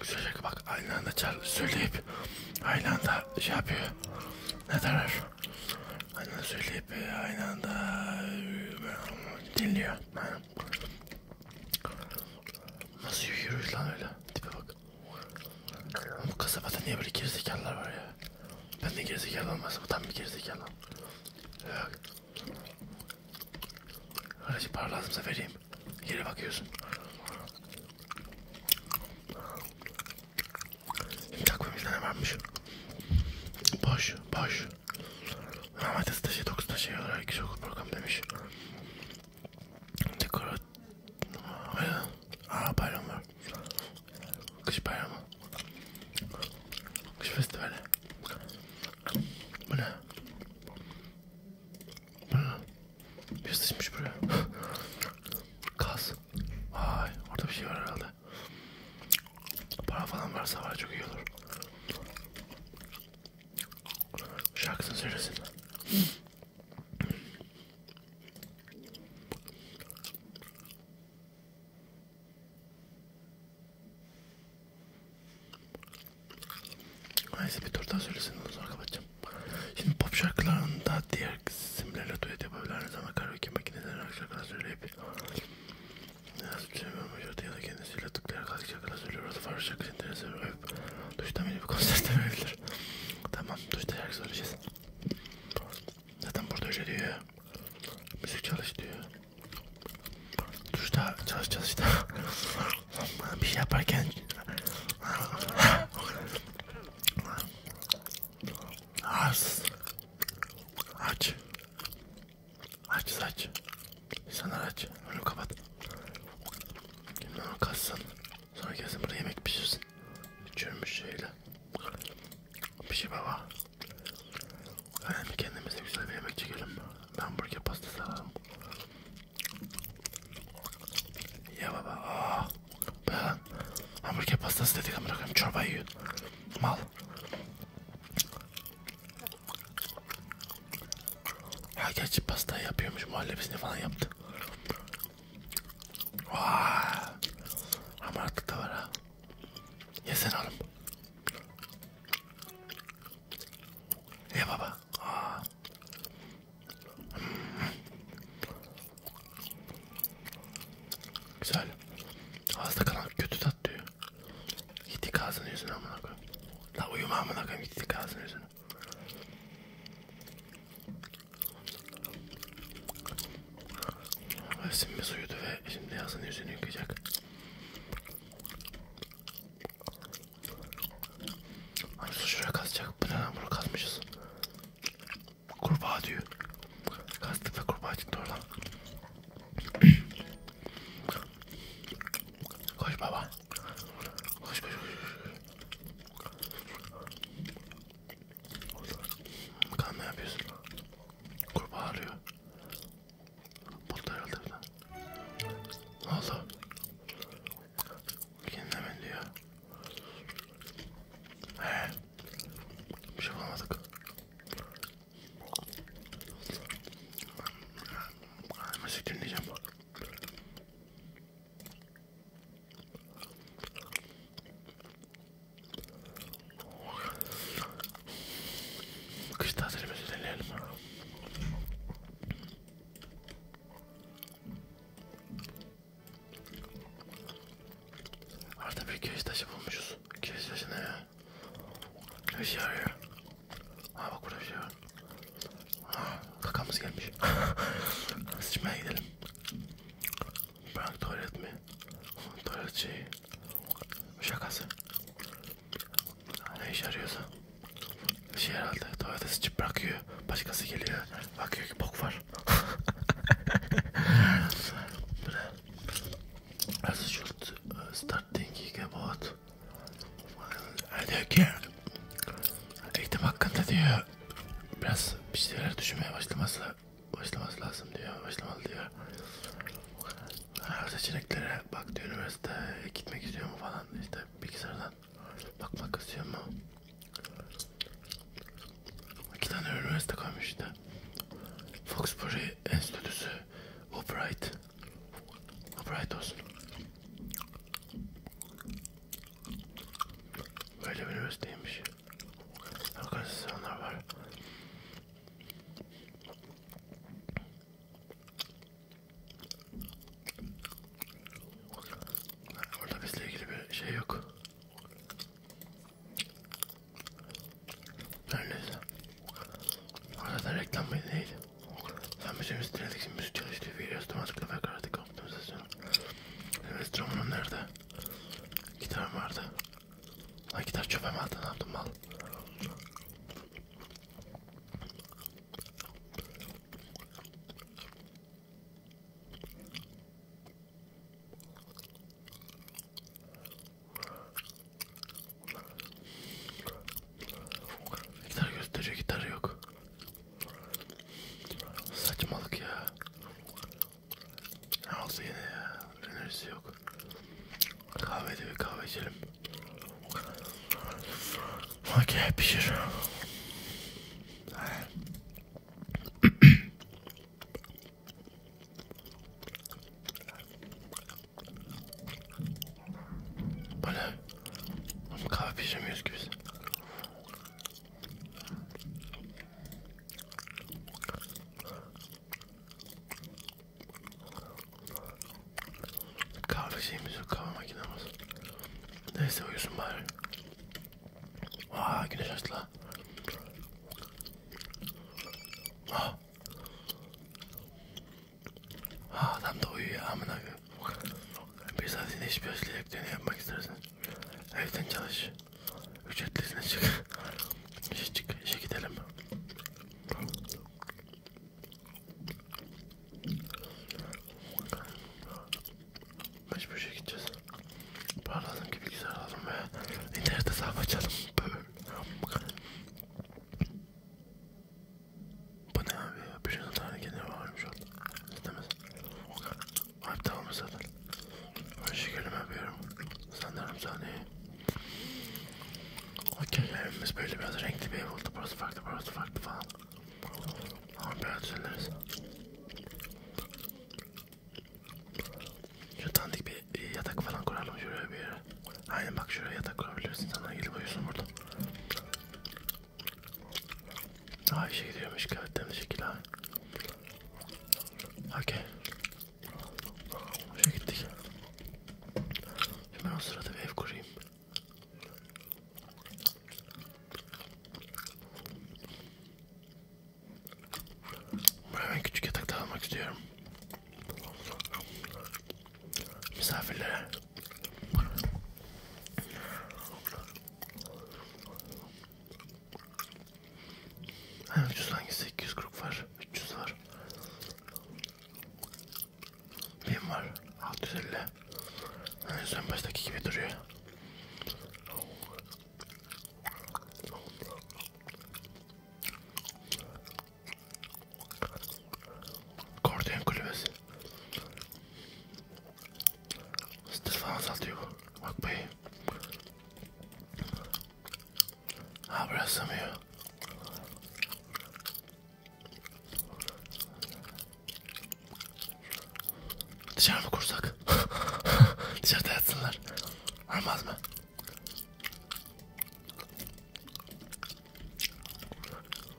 Güzel şaka bak aynı anda çal söyleyip aynı anda şey yapıyor. Ne derler? Aynı anda söyleyip aynı anda dinliyor. Nasıl yürüyüş lan öyle? Tipe bak. Bu kasabada niye böyle gerizekalılar var ya? Ben de gerizekalı olmasam tam bir gerizekalı. Yok. Aracı para lazımsa vereyim. Yere bakıyorsun. Takvimizde ne varmış? Boş, boş. Ahmet Staşı 9 taşı olarak kişi okul program demiş. Dekorat... Aa bayram var. Kış bayramı. Kış festivali. Bu ne? Bu ne? Bir sıçmış buraya. Kaz. Vay orada bir şey var herhalde. Para falan varsa var çok iyi olur. Şarkısını söylesin. Neyse bir tur daha söylesene onu sonra kapatacağım. Şimdi pop şarkılarında diğer isimlerle duet yapabilir. Aynı zamanda karaoke makinelerine şarkılar söyleyip Biraz bir şey ya da kendisiyle tıklayarak şarkılar söylüyor. Orada farklı şarkı interesi öp. Duştan beni bir konsertten öpülür. tamam duşta şarkı söyleyeceğiz. Zaten burada öyle diyor. Müzik çalış diyor. Duşta çalışacağız işte. bir şey yaparken... Arsız. Aç. Aç aç. İnsanlar aç. Önü kapat. Kim onu kassın. Sonra gelsin burada yemek pişirsin. Çürümüş şeyle. Pişir şey baba. Yani kendimize güzel bir yemek çekelim. Ben burger pastası alalım. Ya baba. Aa. Ah. Ben hamburger pastası dedik ama bırakayım çorba yiyor. Mal. Ha gerçi pasta yapıyormuş muhallebisini falan yaptı. Vaa. Ama artık da var ha. Yesen oğlum. Ye baba. Aa. Güzel. Ağızda kalan kötü tat diyor. Gittik ağzını yüzüne amına koyayım. La uyuma amına koyayım gittik ağzını yüzüne. Simimiz uyudu ve şimdi yazın yüzünü yıkayacak. Arzu hani şuraya kazacak. Bu neden bunu kazmışız? Kurbağa diyor. Kazdık ve kurbağa çıktı oradan. Koş baba. Koş koş koş. Kan ne yapıyorsun? Kurba ağrıyor. Buldu herhalde falan. Ne oldu? Kendine mi diyor? He. Bir şey bulamadık. Müzik dinleyeceğim. Kış tatilimizi deneyelim. Artık bir keş taşı bulmuşuz. Keş taşı ne ya? Ne şey arıyor? Ha bak burada bir şey var. Ha kakamız gelmiş. Sıçmaya gidelim. Bırak tuvalet mi? Tuvalet şeyi. Şakası. Ne iş arıyorsa. Şey herhalde tuvalete sıçıp bırakıyor. Başkası geliyor. Bakıyor ki bok var. As should uh, start thinking about Diyor ki eğitim hakkında diyor biraz bir şeyler düşünmeye başlaması başlaması lazım diyor başlamalı diyor seçeneklere bak diyor üniversite gitmek istiyor mu falan işte bilgisayardan bakmak istiyor mu iki tane üniversite koymuş işte Foxbury Enstitüsü Albright Afiyet olsun. Böyle bir üniversiteymiş. Organizasyonlar var. Orada bizle ilgili bir şey yok. Her neyse. Orada da reklam beni neydi? Sam będziemy strzelać jakimś szczęśliwi, jestem sklawek artykuł w tym sezonie. Zamiast drumunu nerede? Gitarım vardı. Ay gitar çöpe mi aldın? Ne yaptın mal? Gitar gösteriyor gitar yok. Saçmalık ya. Ne olsa yine ya. Enerjisi yok. Kahvede bir kahve içelim. Okey pişir. Bu ne? Oğlum kahve pişirmiyoruz ki biz. Kahve şeyimiz yok, kahve makinemiz. Neyse uyusun bari. Aa güneş açtı lan. Ah! Ha adam da uyuyor amına koyayım. Bir saatinde hiçbir aşilelikte ne yapmak istersin? Evden çalış. Ücretlisine çık. İşe çık, işe gidelim. Mecbur işe gideceğiz. Parladığım gibi güzel alalım ve internette sahip açalım. Bu ne abi ya? Bir şuna tane gene varmış oldu. Demez. Ayıp tamam zaten. Ben şekerimi yapıyorum. Sanırım saniye. Okey evimiz böyle biraz renkli bir ev oldu. Burası farklı, burası farklı falan. Ama biraz düzenleriz. Şu tanıdık bir e, yatak falan kuralım şuraya bir yere. Aynen bak şuraya yatak kurabilirsin. Sana gelip uyusun burada. Ay işe gidiyormuş gayet temiz şekil ha. Okey. Şuraya gittik. Şimdi ben o sırada bir ev kurayım. Buraya ben küçük yatak da almak istiyorum misafirlere. Ha, ucuz hangisi? 240 var, 300 var. 1000 var, 650. Yani son baştaki gibi duruyor. Kordiyon kulübesi. Stil falan satıyor bu. Bak bey. Ha burası mı ya? Dışarı mı kursak? Dışarıda yatsınlar. Olmaz mı?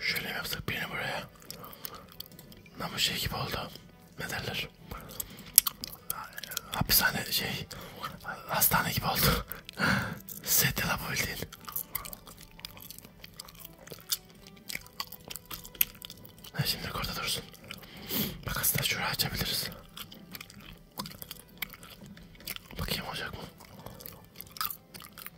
Şöyle mi yapsak beni buraya? Namus şey gibi oldu. Ne derler? Hapishane şey... Hastane gibi oldu. Sedye la bildiğin. Ha, şimdi orada dursun. Bak aslında şurayı açabiliriz. Bakayım olacak mı?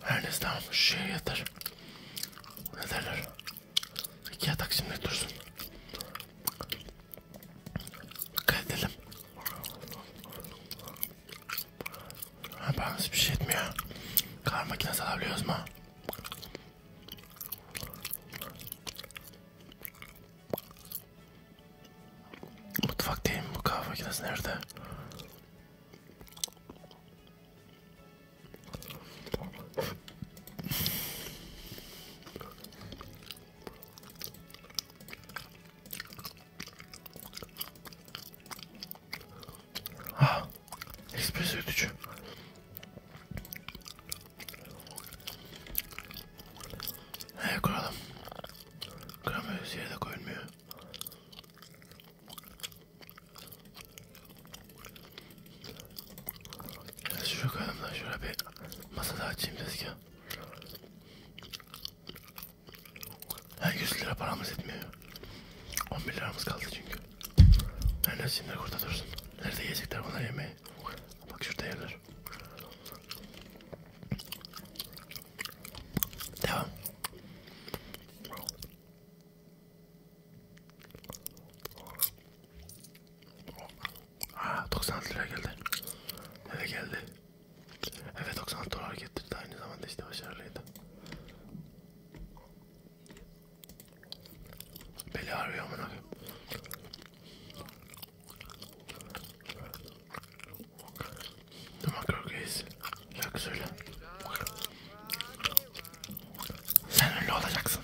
Her neyse tamam şuraya yatır. Ne derler? İki yatak şimdi dursun. Dikkat edelim. Ha, bana hiçbir şey etmiyor. Kahve makinesi alabiliyoruz mu? Mutfak değil mi bu kahve makinesi nerede? Ah, espresso gücü. Hey kuralım. Kıramıyoruz yere de koyulmuyor. Evet, şuraya koyalım da şöyle bir masa daha açayım tezgah. Ha 100 lira paramız etmiyor. 11 liramız kaldı çünkü. Her yani şimdi kurda dursun. Nerede yiyecekler bunlar yemeği? Bak şurada yerler. Devam. Aa 90 lira geldi. Eve geldi. Evet 90 dolar getirdi aynı zamanda işte başarılıydı. Beli ağrıyor amına. Duman kırkıyız. Şarkı söyle. Sen ünlü olacaksın.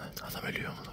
Evet, adam ölüyor amına.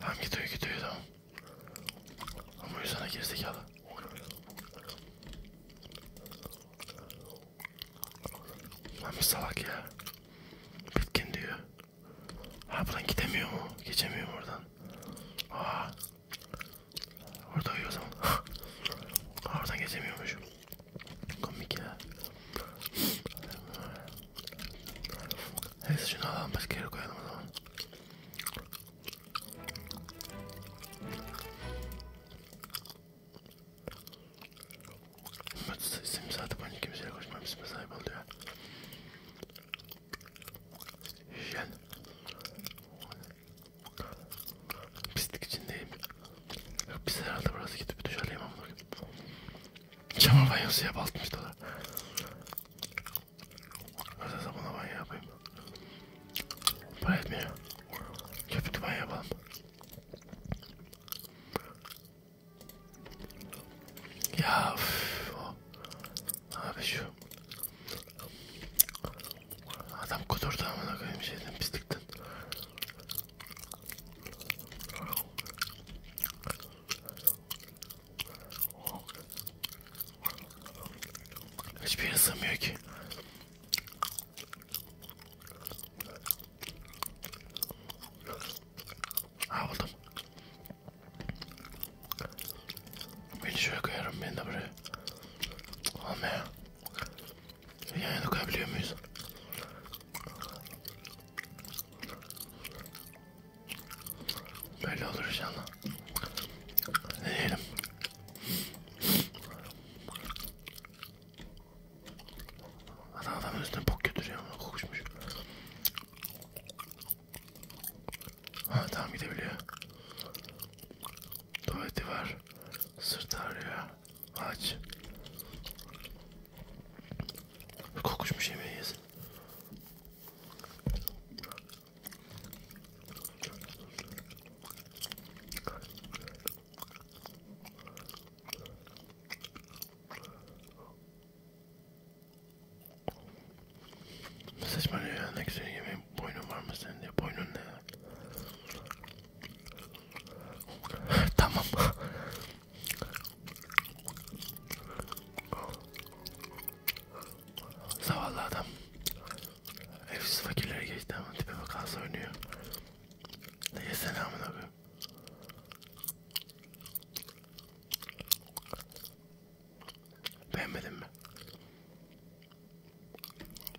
Hem gidiyor gidiyor tamam. Ama yüzüne gerizekalı. Lan bir salak ya. Bitkin diyor. Ha buradan gidemiyor mu? Geçemiyor mu oradan? Aa. Orada uyuyor o zaman. Aa, oradan geçemiyormuş. Komik ya. Neyse şunu alalım başka yere koyalım o zaman. Şimdi saat boyunca kimseye koşmam isme sahip oldu ya. Hijyen. Pislik içindeyim. Yok biz herhalde burası gidip bir duş alayım ama. Çamur banyosu yap 60 dolar. Özel zamana banyo yapayım. Para etmiyor. Köpüklü banyo yapalım. Ya üf, o. Abi şu. Adam kudurdu amına koyayım şeyden pislikten. Hiçbir yere sığmıyor ki. Ha buldum. Beni şöyle koyarım beni de buraya. Olma ya. Yan yana koyabiliyor muyuz? Böyle olur inşallah. Deneyelim. Adam adamın üstüne bok götürüyor ama kokuşmuş. Ha tamam gidebiliyor. Tuvaleti var. Sırt ağrıyor. Aç. Kokuşmuş yemeği yesin. Saçmalıyor ya ne güzel yemeğin boynun var mı senin diye boynun ne ya? tamam. Zavallı adam. Evsiz fakirlere geçti ama tipe bakarsa oynuyor. Neye selamın abi. Beğenmedin mi?